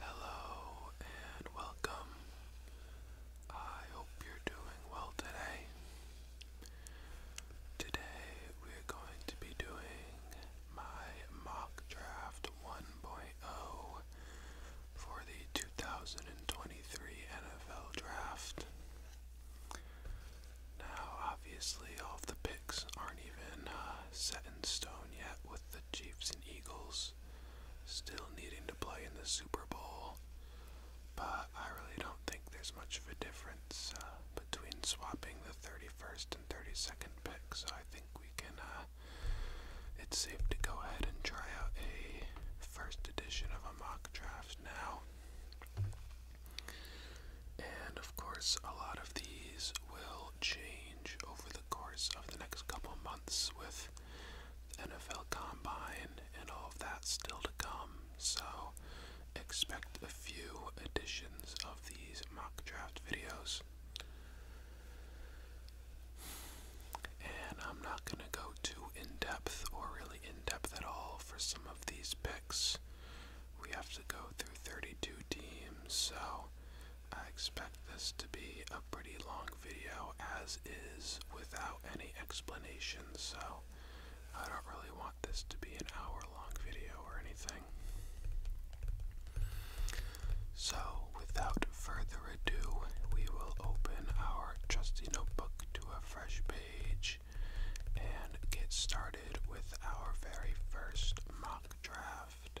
Hello and welcome. I hope you're doing well today. Today we're going to be doing my mock draft 1.0 for the 2023 NFL draft. Now, obviously, all the picks aren't even uh, set in stone yet with the Chiefs and Eagles still needing to play in the Super Bowl, but I really don't think there's much of a difference uh, between swapping the 31st and 32nd pick, so I think we can. Uh, it's safe to go ahead and try out a first edition of a mock draft now. And of course, a lot of these will change over the course of the next couple months with NFL Combine and all of that still to come. So expect a few editions of these mock draft videos. And I'm not going to go too in depth or really in depth at all for some of these picks. We have to go through 32 teams, so I expect this to be a pretty long video as is without any explanation, so I don't really want this to be an hour long video or anything. So, without further ado, we will open our trusty notebook to a fresh page and get started with our very first mock draft.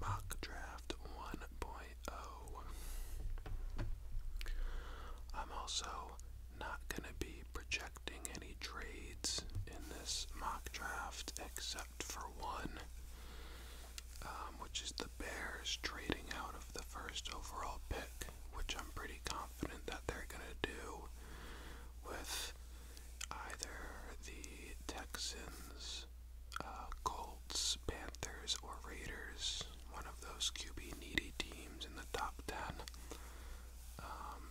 Mock Draft 1.0. I'm also not going to be projecting any trades in this mock draft except for one, um, which is the Bears trading out of the first overall pick which I'm pretty confident that they're gonna do with either the Texans, uh, Colts, Panthers, or Raiders, one of those QB needy teams in the top 10. Um,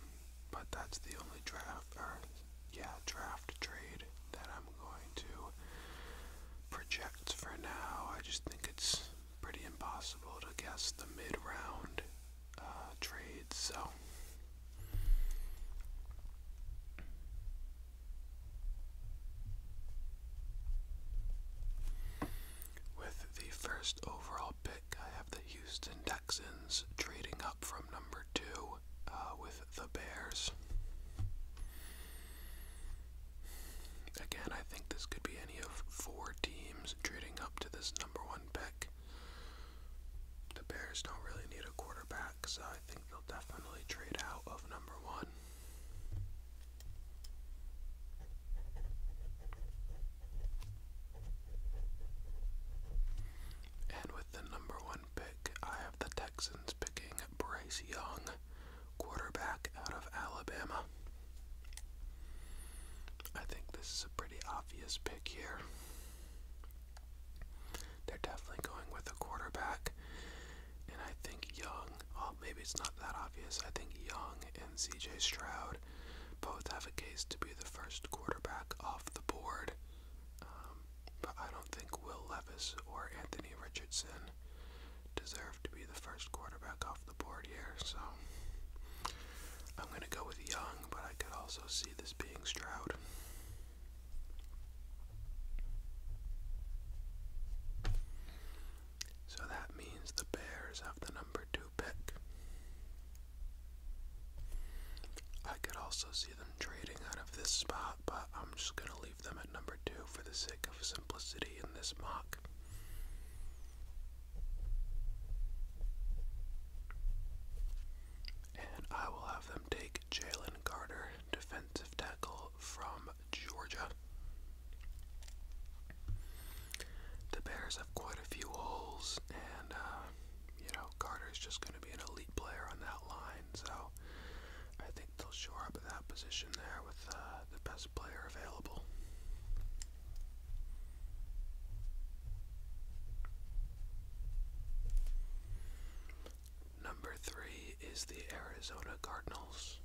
but that's the only draft, or yeah, draft trade that I'm going to project for now. I just think it's pretty impossible to guess the mid round uh, trades. So. With the first overall pick, I have the Houston Texans trading up from number two uh, with the Bears. Again, I think this could be any of four teams trading up to this number one pick the Bears don't really need a quarterback, so I think they'll definitely trade out of number one. And with the number one pick, I have the Texans picking Bryce Young, quarterback out of Alabama. I think this is a pretty obvious pick here. They're definitely going with a quarterback. And I think Young, well, maybe it's not that obvious. I think Young and CJ Stroud both have a case to be the first quarterback off the board. Um, but I don't think Will Levis or Anthony Richardson deserve to be the first quarterback off the board here, so I'm going to go with Young, but I could also see this being Stroud. So that means the Bears have the number two pick. I could also see them trading out of this spot, but I'm just going to leave them at number two for the sake of simplicity in this mock. And I will have them take Jalen Carter, defensive tackle from Georgia. The Bears have quite a few holes, and uh, you know, Carter's just going to be an elite player on that line, so I think they'll shore up that position there with uh, the best player available. Number three is the Arizona Cardinals.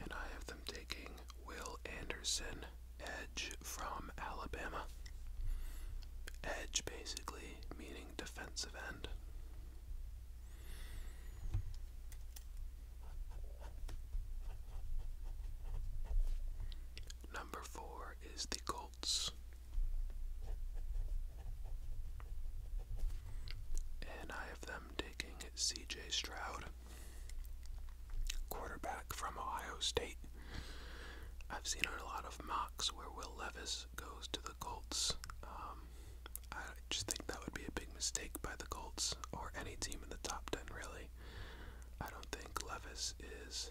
And I have them taking Will Anderson, edge from Alabama. Edge basically meaning defensive end. Number four is the Colts. And I have them taking CJ Stroud, quarterback from Ohio State. I've seen a lot of mocks where Will Levis goes to the Colts. Um, I just think that would be a big mistake by the Colts or any team in the top 10, really. I don't think Levis is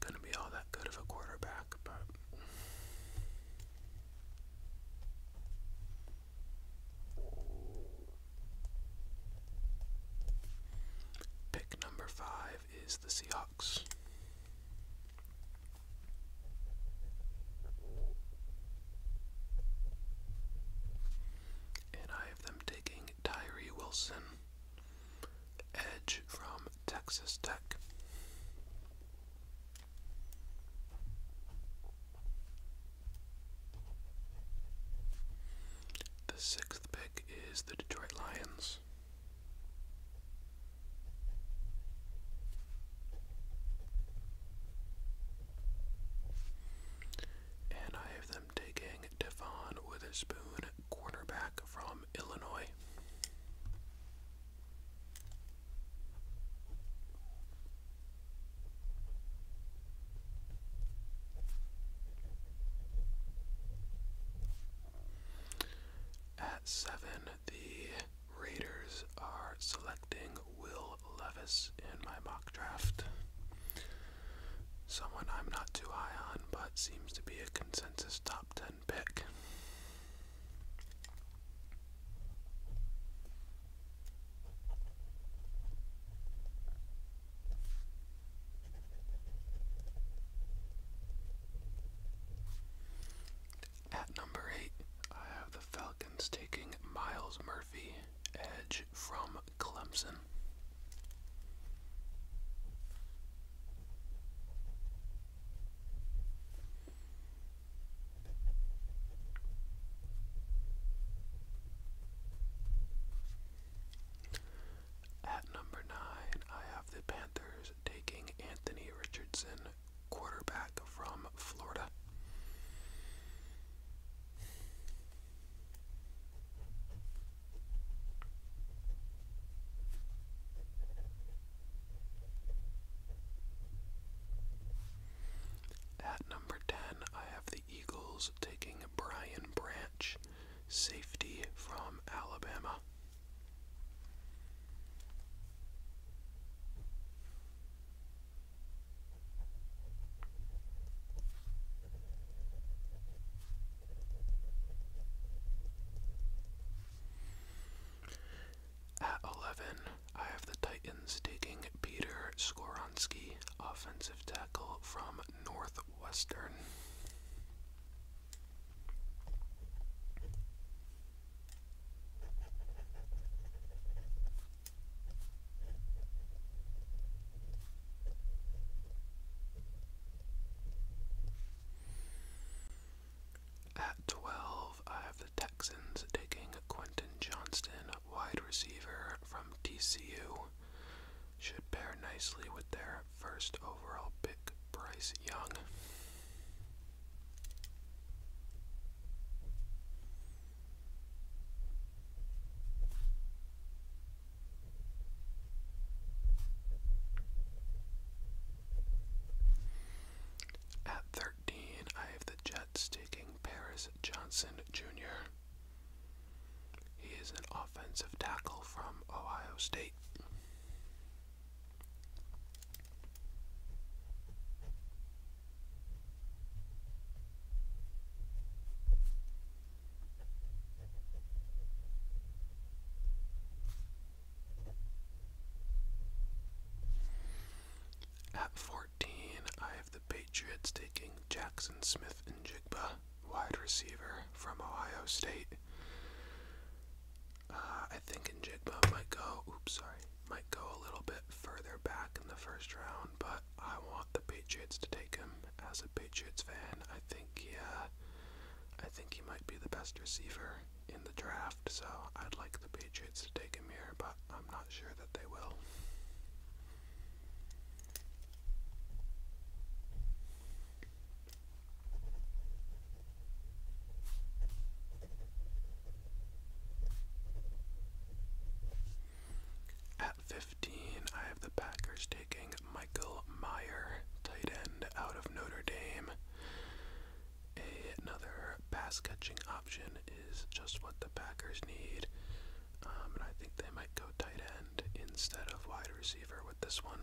going to be all that good of a quarterback, but. Pick number five is the Seahawks. And I have them taking Tyree Wilson, edge from Texas Tech. The sixth pick is the Detroit Lions. And I have them taking Devon Witherspoon, cornerback from Illinois. At seven, the Raiders are selecting Will Levis in my mock draft. Someone I'm not too high on, but seems to be a consensus top 10 pick. At number 8, I have the Falcons taking Miles Murphy, edge from Clemson. At number nine, I have the Panthers taking Anthony Richardson quarterback from Florida. At number 10, I have the Eagles taking Brian Branch, safety from Alabama. At 11, I have the Titans taking Peter Skoronski, offensive tackle from Northwestern. At 12, I have the Texans taking Quentin Johnston, wide receiver from TCU. Should pair nicely with their first overall pick, Bryce Young. At 13, I have the Jets taking Paris Johnson Jr. He is an offensive tackle from Ohio State. At 14, I have the Patriots taking Jackson Smith and Jigba, wide receiver from Ohio State. Uh, I think Njigba might go. Oops, sorry. Might go a little bit further back in the first round, but I want the Patriots to take him. As a Patriots fan, I think he, I think he might be the best receiver in the draft. So I'd like the Patriots to take him here, but I'm not sure that they will. At 15, I have the Packers taking Michael Meyer, tight end out of Notre Dame. another pass catching option is just what the Packers need. Um, and I think they might go tight end instead of wide receiver with this one.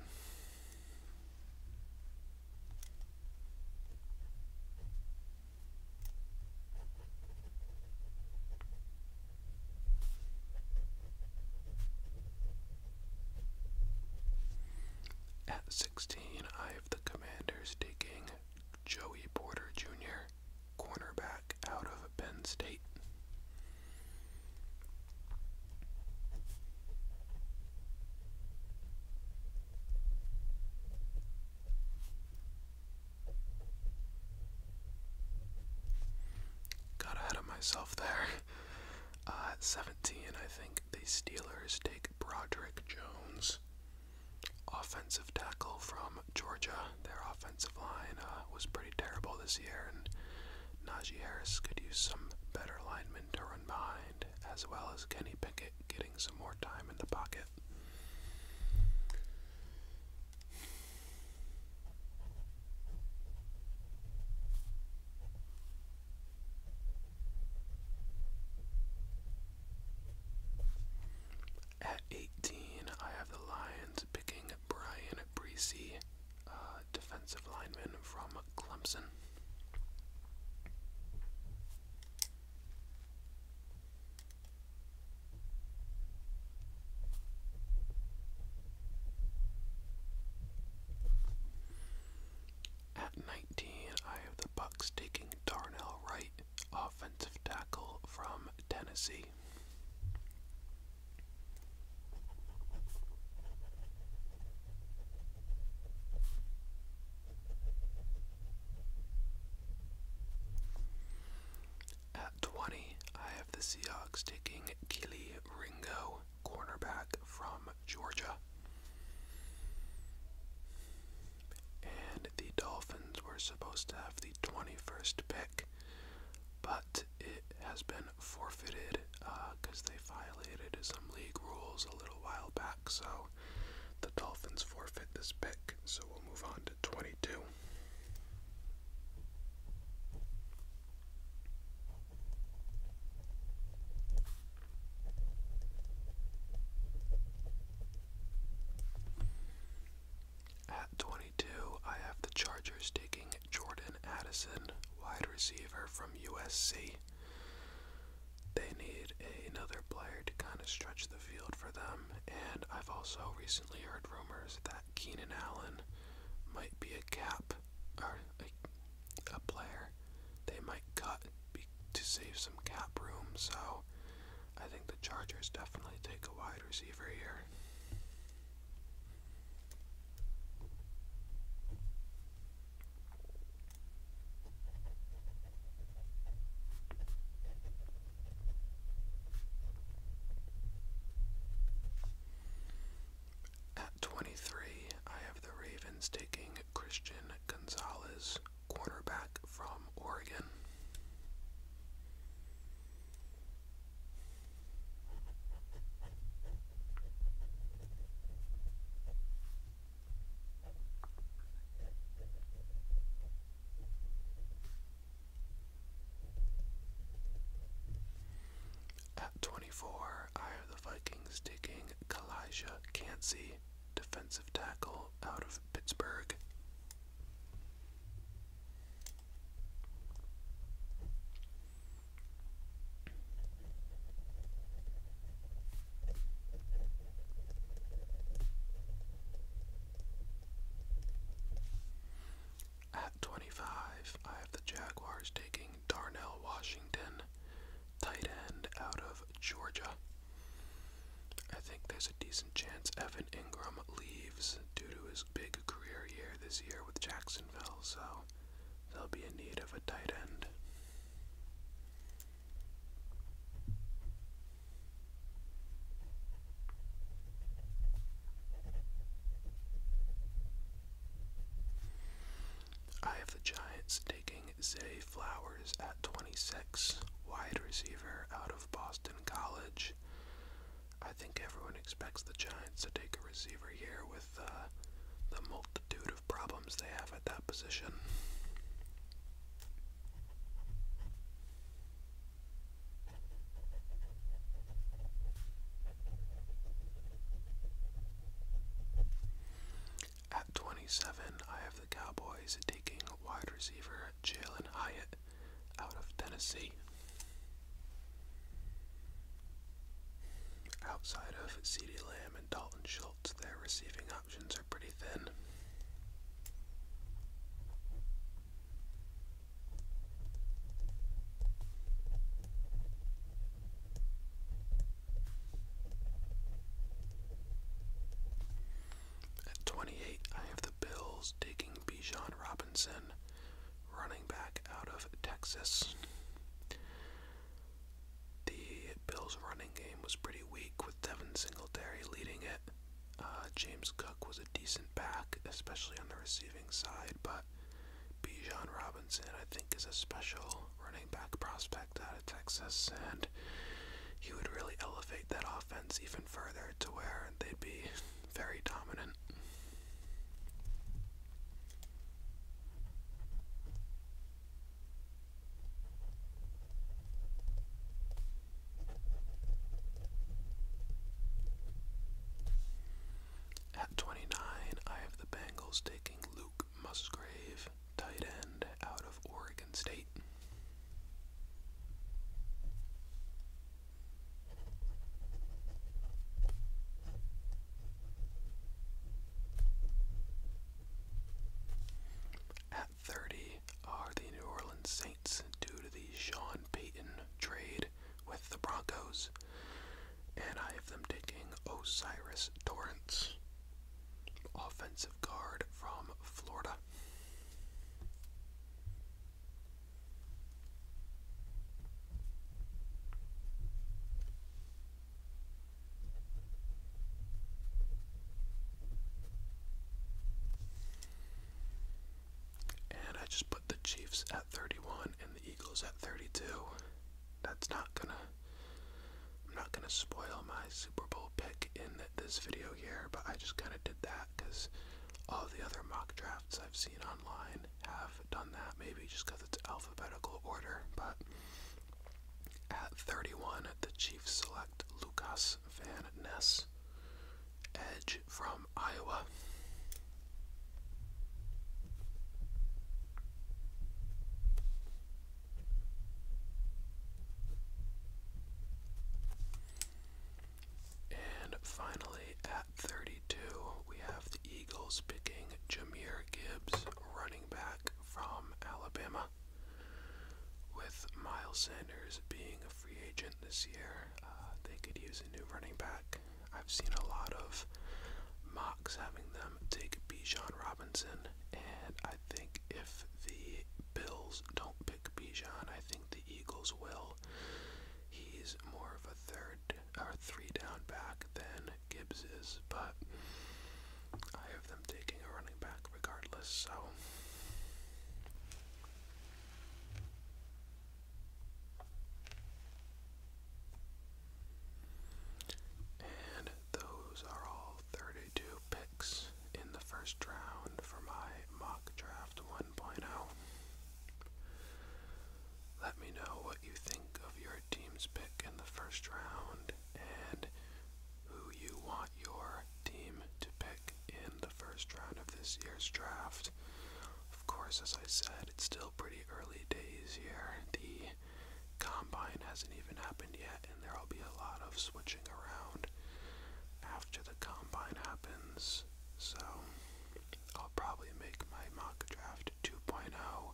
At 16, I have the Commanders taking Joey Porter Jr., cornerback out of Penn State. Got ahead of myself there. Uh, at 17, I think the Steelers take Broderick Jones, offensive tackle from Georgia. Their offensive line uh, was pretty terrible this year, and Najee Harris could use some better linemen to run behind, as well as Kenny Pickett getting. At 18, I have the Lions picking Brian Breesy, uh, defensive lineman from Clemson. At 19, I have the Bucks taking Darnell Wright, offensive tackle from Tennessee. At 20, I have the Seahawks taking Keely Ringo, cornerback from Georgia. And the Dolphins were supposed to have the 21st pick, but it has been forfeited because uh, they violated some league rules a little while back, so the Dolphins forfeit this pick, so we'll move on to 22. At 22, I have the Chargers taking Jordan Addison, wide receiver from USC they need another player to kind of stretch the field for them. And I've also recently heard rumors that Keenan Allen might be a cap or a, player they might cut to save some cap room. So I think the Chargers definitely take a wide receiver here. At 23, I have the Ravens taking Christian Gonzalez, cornerback from Oregon. At 24, I have the Vikings taking Kalijah Cansey, defensive tackle out of Pittsburgh. At 25, I have the Jaguars taking Darnell Washington, tight end out of Georgia. I think there's a decent chance Evan Ingram leaves due to his big career year this year with Jacksonville, so they'll be in need of a tight end. I have the Giants taking Zay Flowers at 26, wide receiver out of Boston College. I think everyone expects the Giants to take a receiver here with uh, the multitude problems they have at that position. At 27, I have the Cowboys taking wide receiver Jalen Hyatt out of Tennessee. Outside of CeeDee Lamb and Dalton Schultz, their receiving are pretty thin. At 28, I have the Bills taking Bijan Robinson, running back out of Texas. The Bills' running game was pretty weak with Devin Singletary leading it. Uh, James Cook was a decent back, especially on the receiving side, but Bijan Robinson, I think, is a special running back prospect out of Texas, and he would really elevate that offense even further to where they'd be very dominant. At 29, I have the Bengals taking Luke Musgrave, tight end out of Oregon State. At 30 are the New Orleans Saints due to the Sean Payton trade with the Broncos, and I have them taking Osiris Torrance, offensive guard from Florida. And I just put the Chiefs at 31 and the Eagles at 32. That's not gonna. I'm not gonna spoil my Super Bowl pick in this video here, but I just kind of did that because all the other mock drafts I've seen online have done that. Maybe just because it's alphabetical order, but at 31, the Chiefs select Lucas Van Ness, edge from Iowa. And finally, at 32, we have the Eagles picking Jameer Gibbs, running back quarterback from Alabama, with Miles Sanders being a free agent this year. Uh, they could use a new running back. I've seen a lot of mocks having them take Bijan Robinson, and I think if the Bills don't pick Bijan, I think the Eagles will. He's more of a third or three down back than Gibbs is, but I have them taking a running back regardless, so. And those are all 32 picks in the first round for my mock draft 1.0. Let me know what you think of your team's pick in the first round and who you want your team to pick in the first round of this year's draft. Of course, as I said, it's still pretty early days here. The combine hasn't even happened yet, and there'll be a lot of switching around after the combine happens. So, I'll probably make my mock draft 2.0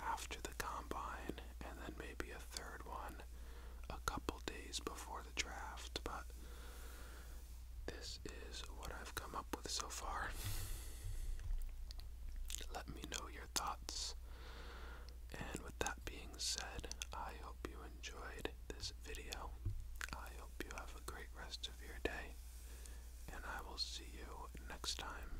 after the combine, and then maybe a third one a couple days before the draft. But this is what I've come up with so far. Let me know your thoughts. And with that being said, I hope you enjoyed this video. I hope you have a great rest of your day, and I will see you next time.